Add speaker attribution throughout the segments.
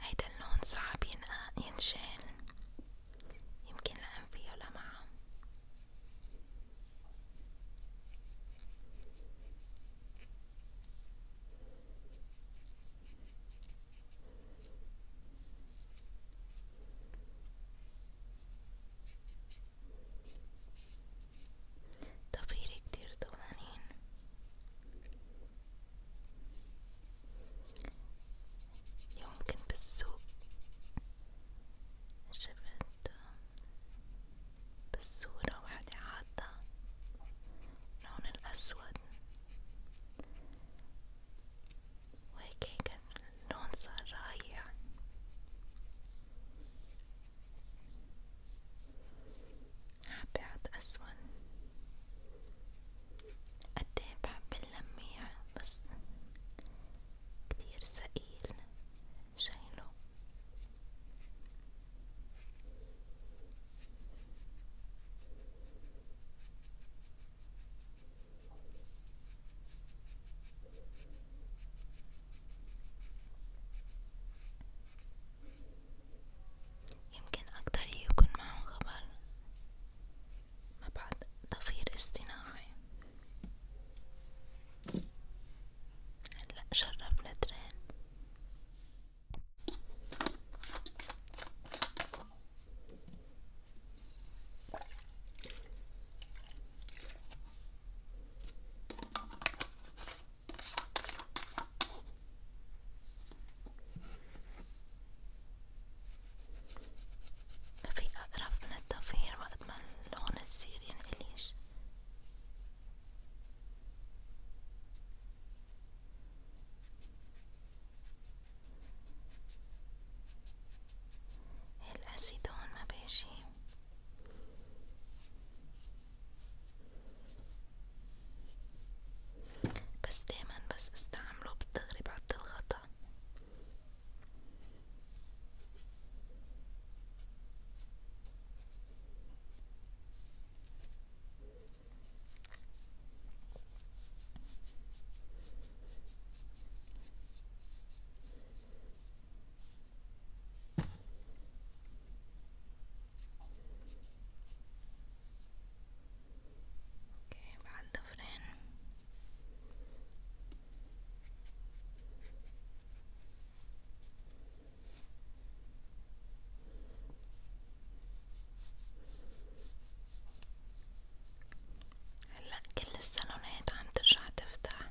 Speaker 1: هيدا اللون صعب آه، ينشال يمكن لأن فيه لمعة ضفيري كتير طولانين اليوم كنت بالسوق شفت بالصورة وحدة عاطة لون الأسود وهيك لكن اللون صار رايع حابة أحط أسود قد ايه بحب اللميع بس كتير ثقيل شايله يمكن أكتر يكون معهم خبر مبعد تغيير اصطناعي هلا شرف لترين في أقرب من الضفير وقت ما اللون السير ينقليش الأسيد هون ما بيجي بس دايما بس استعمله بالتغريب عد الغطا اوكي بعد ضفرين هلا كل الصالونات عم ترجع تفتح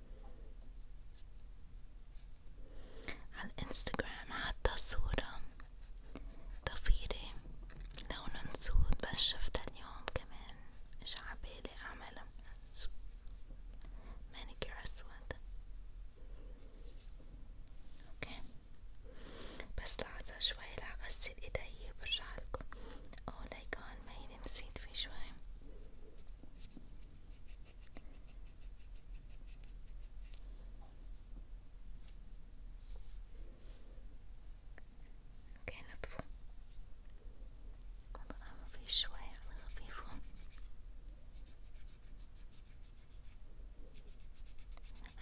Speaker 1: على الانستغرام حتى صورة ضفيرة لونن سود بس شفتها اليوم كمان مش عبالي اعملها مانيكير اسود اوكي بس لحظة شوي رح اغسل ايدي برجعلكم اوه لايك ما هيني نسيت في شوي اوكي نطفو وضعها مفيش شوية على خفيفه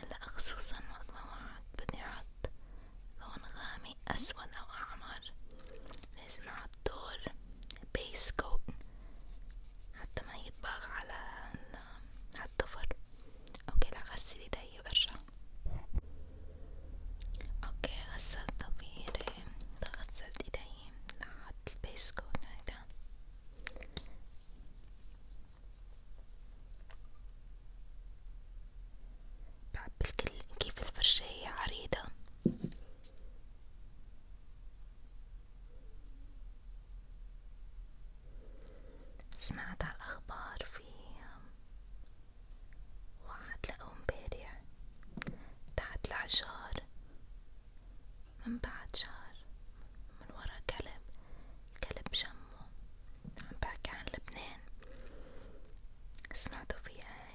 Speaker 1: هلا خصوصا وقت ما وعد بدي احط لون غامق اسود او احمر لازم احط دور بيس كوت حتى ما يطبخ على الضفر اوكي لا غسل ايدي برجع اوكي غسلت ضفيري غسلت ايدي نحط البيس كوت هيدا بحب الكل كيف الفرشاية عريضة سمعت على الأخبار في واحد لقوه مبارح تحت الحجار من بعد شهر من ورا كلب كلب شمه عم بحكي عن لبنان سمعتوا فيها هاي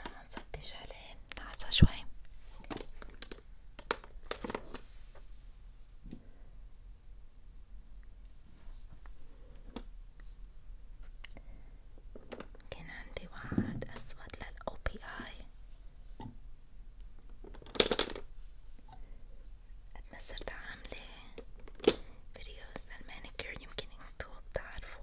Speaker 1: أنا عم فتش عليه لحظة شوي كان عندي وعد أسود للأو بي آي قد ما صرت عاملة فيديوز للمانيكير يمكن انتو بتعرفوا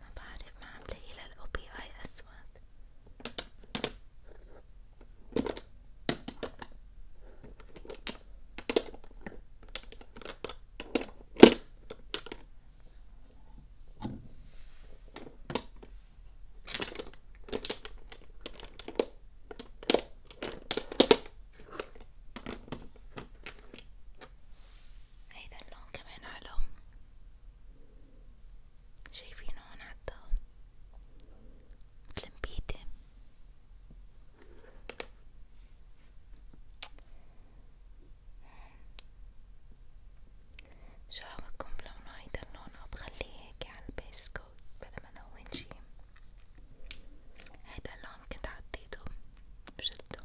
Speaker 1: ما بعرف ما عم لاقي للأو بي آي أسود هيدا إيه اللون كمان حلو شايفينه هون حتى متل مبيدة شو عملكم بلونه هيدا اللون وبخليه هيك عالبيس كوت بلا ما نون شي هيدا اللون كنت حطيته بجلده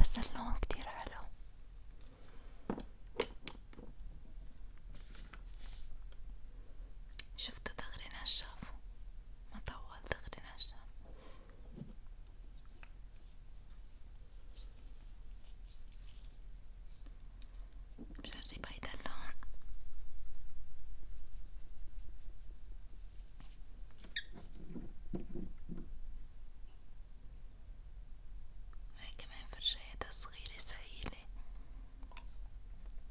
Speaker 1: بس اللون كتير حلو شفت دغري نشف ما طول دغري نشف بجرب هيدا اللون هاي كمان فرشايتها صغيرة سهيلة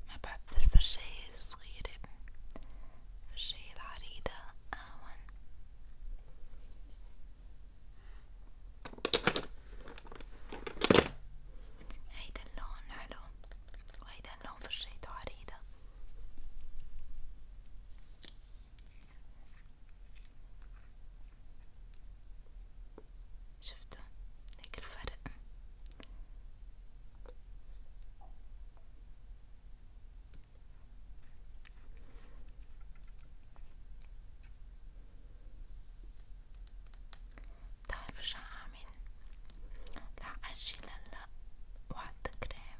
Speaker 1: ما بحب الفرشاية الصغيرة الفرشاية العريضة أهون آه، هيدا اللون حلو وهيدا اللون فرشايته عريضة شفتوا هيك الفرق تعال طيب برجع أعمل رح أجي لهلا وأحط كريم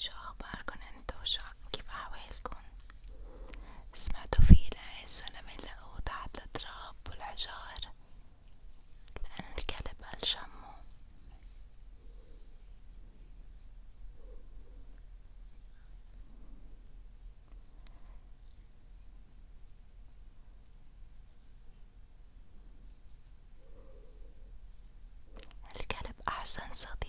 Speaker 1: شو اخباركن انتو شو كيف احوالكن سمعتوا في الزلمة اللي لقوه تحت التراب والحجار لأن الكلب قال شمه الكلب أحسن صديق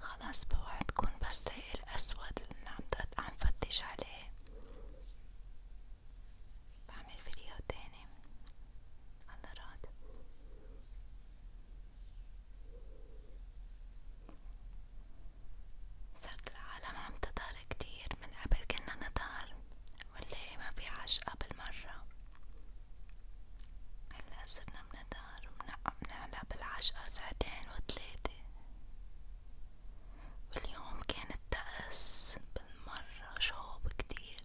Speaker 1: خلاص بوعدكن بس لاقي الأسود اللي عم عم فتش عليه بعمل فيديو تاني الله راد صرت العالم عم تظهر كتير من قبل كنا نظهر ولا ما في عشقة بالمرة هلا صرنا مندار ومنعلى بالعشقة ساعتين وتلاتة واليوم كان الطقس بالمرة شوب كتير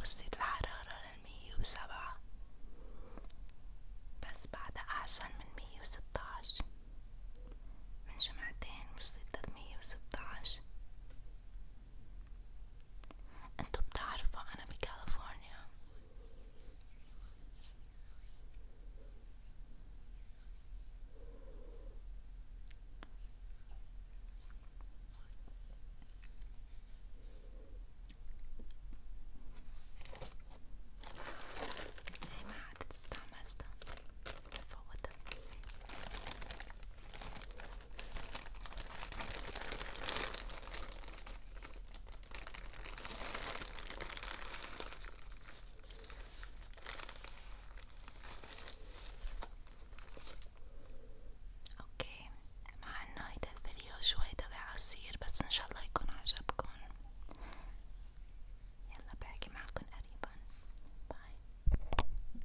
Speaker 1: وصلت الحرارة للمية وسبعة بس بعدها أحسن من مية وستاعش من جمعتين وصلت للمية وستاعش انتو بتعرفوا انا بكاليفورنيا هي ما عاد استعملتها فوتها اوكي مع انه هيدا الفيديو شوي طلع قصير بس ان شاء الله يكون عجبكم يلا بحكي معكم قريبا باي